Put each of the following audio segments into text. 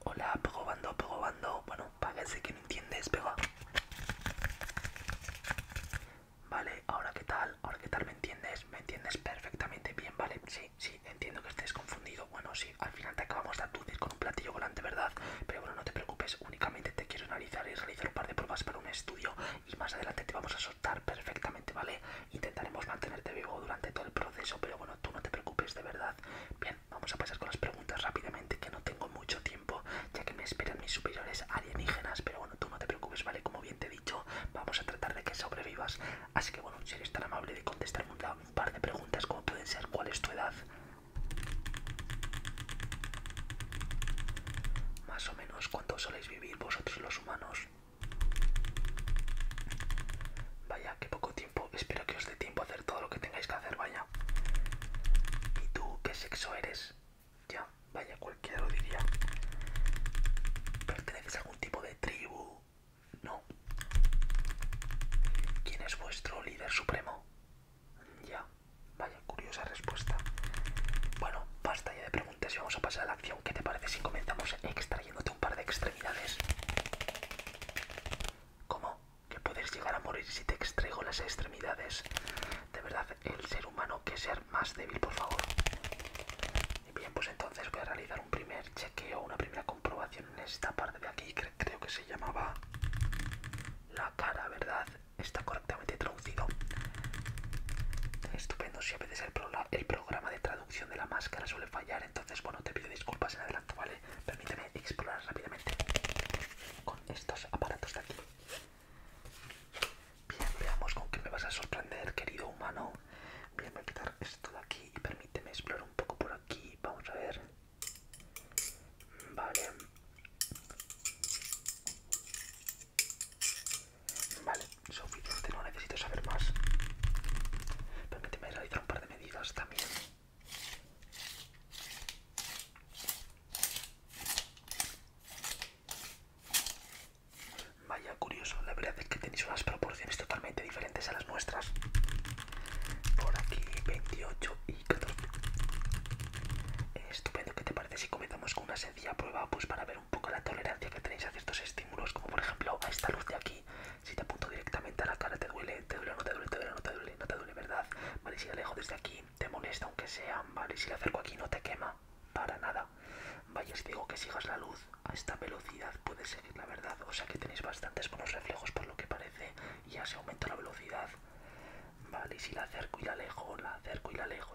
Hola, probando, bando. Bueno, parece que no entiendes, pero... Vale, ahora qué tal, ahora qué tal me entiendes, me entiendes perfectamente bien, vale, sí, sí, entiendo que estés confundido, bueno, sí, al final te acabamos de aturdir con un platillo volante, ¿verdad? Pero bueno, no te preocupes, únicamente te quiero analizar y realizar un par de pruebas para un estudio y más adelante te vamos a soltar perfectamente ¿vale? Intentaremos mantenerte vivo durante todo el proceso, pero bueno, tú no te preocupes de verdad. Bien, vamos a pasar con las preguntas rápidamente, que no tengo mucho tiempo, ya que me esperan mis superiores alienígenas, pero bueno, tú no te preocupes, ¿vale? Como bien te he dicho, vamos a tratar de que sobrevivas. Así que bueno, si eres tan amable de contestar un, un par de preguntas, como pueden ser, ¿cuál es tu edad? Más o menos, ¿cuánto soléis vivir vosotros los humanos? Vaya, qué poco tiempo. Espero que os dé tiempo a hacer todo lo que tengáis que hacer, vaya. ¿Y tú qué sexo eres? Ya, vaya, cualquiera lo diría. ¿Perteneces a algún tipo de tribu? No. ¿Quién es vuestro líder supremo? Ya, vaya, curiosa respuesta. Bueno, basta ya de preguntas. Si vamos a pasar a la acción. ¿Qué te parece si comenzamos extrayéndote un par de extremidades? ¿Cómo? ¿Que puedes llegar a morir si te extraigo las extremidades? De verdad, el ser humano que ser más débil, por favor. Bien, pues entonces voy a realizar un primer chequeo, una primera comprobación en esta parte de aquí. creo que se llamaba la cara, ¿verdad? Está correctamente traducido. Estupendo, si a el, programa de producción de la máscara suele fallar, entonces bueno, te pido disculpas en adelante ¿vale? Permíteme explorar rápidamente con estos aparatos de aquí. Bien, veamos con qué me vas a sorprender, querido humano. Bien, voy a quitar esto de aquí y permíteme explorar un poco por aquí. Vamos a ver. Vale. Vale, no necesito saber más. Permíteme realizar un par de medidas también. Vaya, curioso, la verdad es que tenéis unas proporciones totalmente diferentes a las nuestras. Por aquí 28 y 14. Estupendo, ¿qué te parece si comenzamos con una sencilla prueba? Pues para un poco la tolerancia que tenéis a ciertos estímulos, como por ejemplo a esta luz de aquí. Si te apunto directamente a la cara, te duele, te duele, no te duele, te duele, no te duele, no te duele, ¿verdad? Vale, si la alejo desde aquí, te molesta aunque sea, vale, si la acerco aquí, no te quema, para nada. Vaya, si digo que sigas la luz, a esta velocidad puedes seguir la verdad, o sea que tenéis bastantes buenos reflejos por lo que parece, y ya se aumenta la velocidad. Vale, si la acerco y la alejo, la acerco y la alejo,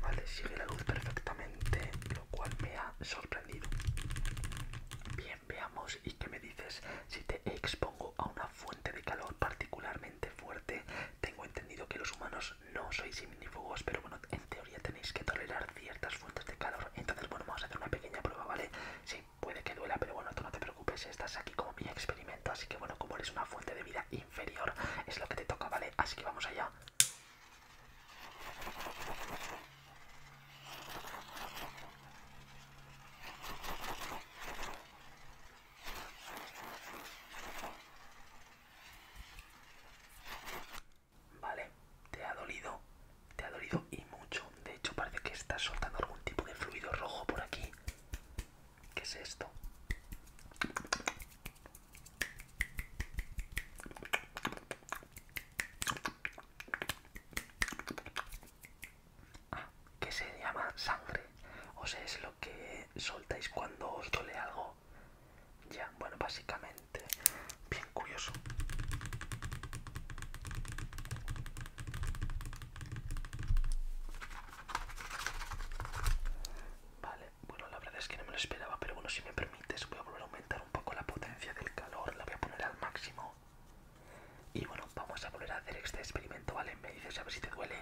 Vale, sigue la luz perfectamente, lo cual me ha sorprendido. Bien, veamos y qué me dices. Si te expongo a una fuente de calor particularmente fuerte, tengo entendido que los humanos no sois simi-fugos pero bueno, en teoría tenéis que tolerar ciertas fuentes de calor. Entonces, bueno, vamos a hacer una pequeña prueba, ¿vale? Sí, puede que duela, pero bueno, tú no te preocupes, estás aquí como mi experimento, así que bueno, como eres una fuente de vida inferior, es lo que te toca, ¿vale? Así que vamos allá. Vale, te ha dolido, te ha dolido y mucho. De hecho, parece que estás soltando algún tipo de fluido rojo por aquí. ¿Qué es esto? Ah, que se llama sangre. O sea, es lo que soltáis cuando os duele algo. Ya, bueno, básicamente, bien curioso. Vale, bueno, la verdad es que no me lo esperaba, pero bueno, si me permites, voy a volver a aumentar un poco la potencia del calor, la voy a poner al máximo. Y bueno, vamos a volver a hacer este experimento, ¿vale? Me dices a ver si te duele.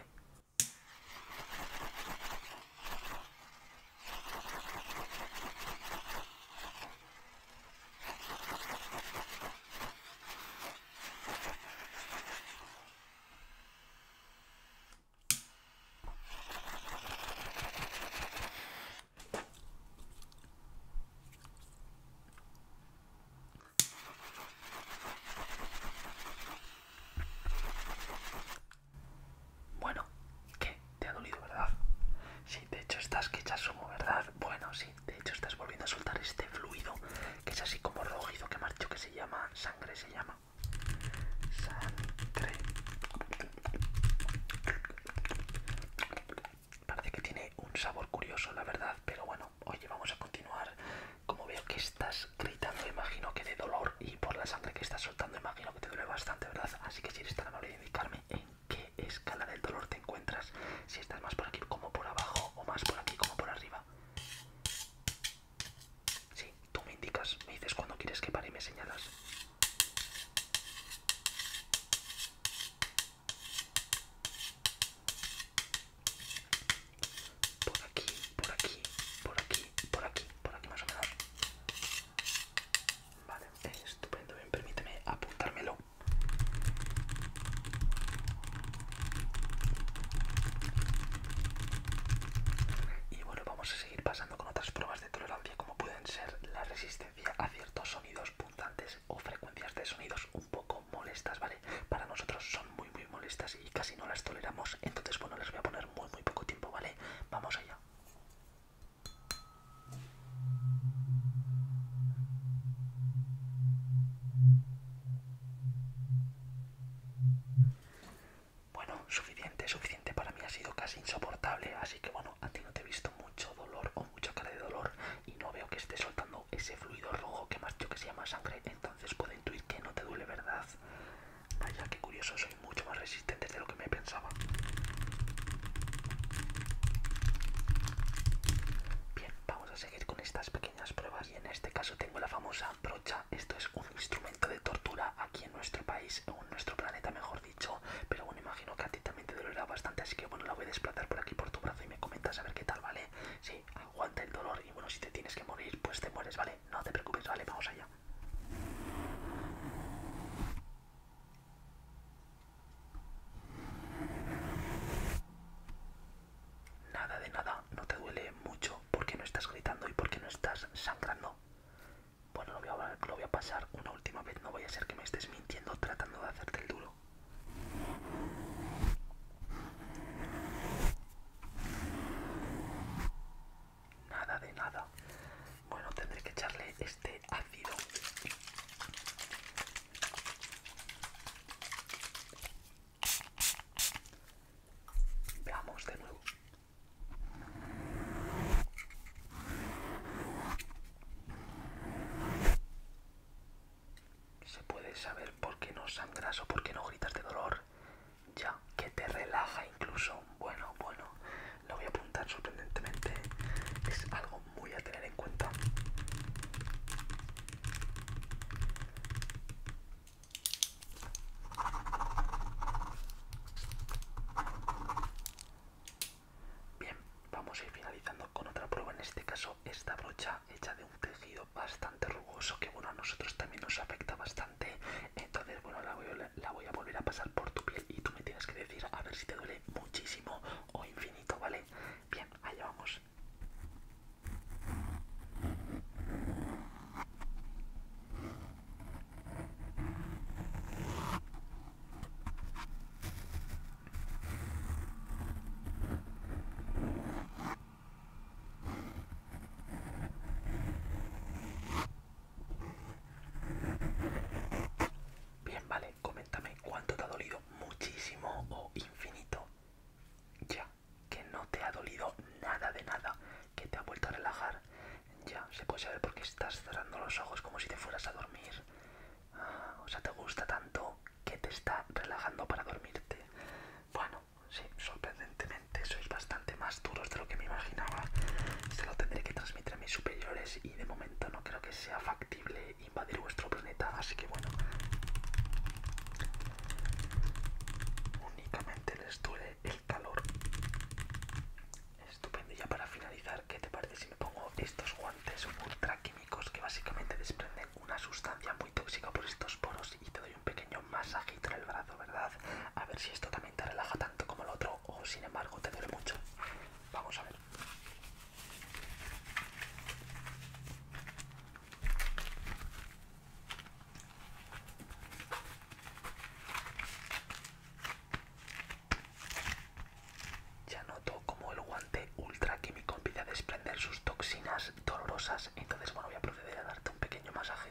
Bueno, ¿qué? ¿Te ha dolido, verdad? Si de hecho estás que echas humo, ¿verdad? Bueno, sí, de hecho estás volviendo a soltar este fluido que es así como rojizo que marcho que se llama sangre se llama sangre parece que tiene un sabor curioso la verdad pero bueno oye vamos a continuar como veo que estás gritando imagino que de dolor y por la sangre que estás soltando imagino que te duele bastante verdad así que si eres tan amable de indicarme en qué escala del dolor te encuentras si estás más por aquí como por abajo o más por aquí como por arriba Sí, tú me indicas, me dices cuando quieres que pare y me señalas. Por aquí, por aquí, por aquí, por aquí, por aquí más o menos. Vale, estupendo, bien, permíteme apuntármelo. Y bueno, vamos a seguir pasando con otras pruebas de tolerancia como pueden ser la resistencia a ciertos sonidos punzantes o frecuencias de sonidos un poco molestas, ¿vale? Para nosotros son muy muy molestas y casi no las toleramos, entonces bueno, les voy a poner muy muy poco tiempo, ¿vale? Vamos allá. Bueno, suficiente, suficiente para mí ha sido casi insoportable, así que bueno, a ti no te he visto mucho dolor o mucha cara de dolor y no veo que esté soltando ese fluido rojo que más yo que se llama sangre, entonces puedo intuir que no te duele, ¿verdad? Vaya, qué curioso, soy mucho más resistente de lo que me pensaba. Bien, vamos a seguir con estas pequeñas pruebas y en este caso tengo la famosa brocha. Esto es un instrumento de tortura aquí en nuestro país o en nuestro planeta mejor dicho, pero bueno, imagino que a ti también te dolerá bastante, así que bueno, la voy a desplazar por aquí por tu brazo y me comentas a ver qué tal, ¿vale? Sí, aguanta el dolor y bueno, si te tienes que morir, pues te mueres, ¿vale? No te preocupes, ¿vale? Vamos allá. Nada de nada, no te duele mucho porque no estás gritando y porque no estás sangrando. Bueno, lo voy, a, pasar una última vez, no voy a ser que me estés mintiendo tratando de hacerte el duro. Nada de nada. Bueno, tendré que echarle este ácido Veamos de nuevo. Se puede saber por qué no sangras o por qué no gritas de dolor, ya que te relaja incluso. Bueno, bueno, lo voy a apuntar sorprendentemente. Es algo muy a tener en cuenta. Bien, vamos a ir finalizando con otra prueba, en este caso esta brocha hecha de un tejido bastante rugoso que bueno a nosotros también nos afecta bastante, entonces bueno la voy, la voy a volver a pasar por tu piel y tú me tienes que decir a ver si te duele muchísimo o infinito, ¿vale? Bien, allá vamos. Bien, vale, coméntame cuánto te ha dolido muchísimo o infinito. Ya, que no te ha dolido nada de nada, que te ha vuelto a relajar. Ya, se puede saber por qué estás cerrando los ojos como si te fueras a dormir. Ah, o sea, te gusta tanto que te está relajando para dormirte. Bueno, sí, sorprendentemente sois bastante más duros de lo que me imaginaba. Se lo tendré que transmitir a mis superiores y de momento no creo que sea factible invadir vuestro planeta, así que bueno, únicamente les duele el calor. Estupendo, ya para finalizar, ¿qué te parece si me pongo estos guantes ultra químicos que básicamente desprenden una sustancia muy tóxica por estos poros y te doy un pequeño masajito en el brazo, ¿verdad? A ver si esto también te relaja tanto como el otro o sin embargo te duele mucho. Vamos a ver. Ya noto como el guante ultra químico empieza a desprender sus toxinas dolorosas. Entonces, bueno, voy a proceder a darte un pequeño masaje.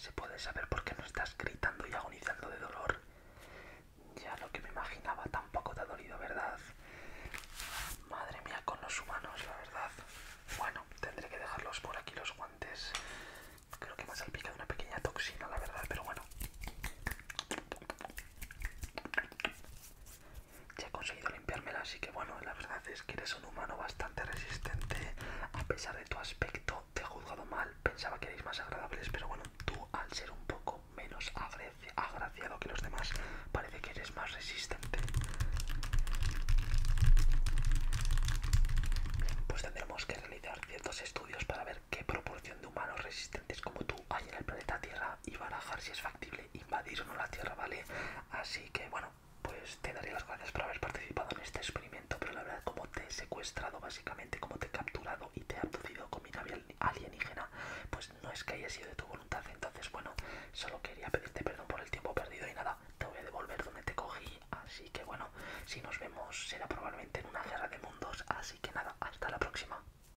Se puede saber por qué no estás gritando y agonizando de dolor. Ya lo que me imaginaba tampoco te ha dolido, ¿verdad? Madre mía, con los humanos, la verdad. Bueno, tendré que dejarlos por aquí los guantes. Creo que me ha salpicado una pequeña toxina, la verdad, pero bueno ya he conseguido limpiármela, así que bueno, la verdad es que eres un humano bastante resistente, a pesar de tu aspecto te he juzgado mal, pensaba que erais más agradables, pero bueno, tú al ser un poco menos agraciado que los demás, parece que eres más resistente. pues tendremos que realizar ciertos estudios para ver qué proporción de humanos resistentes como tú hay en el planeta Tierra y barajar si es factible invadir o no la Tierra, ¿vale? Así que, bueno, pues te daré las gracias por haber participado en este experimento, pero la verdad, como te he secuestrado, básicamente, como te he capturado y te he abducido con mi nave alienígena, pues no es que haya sido de tu voluntad. Entonces, bueno, solo quería pedirte perdón por el tiempo perdido y nada, te voy a devolver donde te cogí. Así que, bueno, si nos vemos será probablemente en una guerra de mundos. Así que nada, hasta la próxima.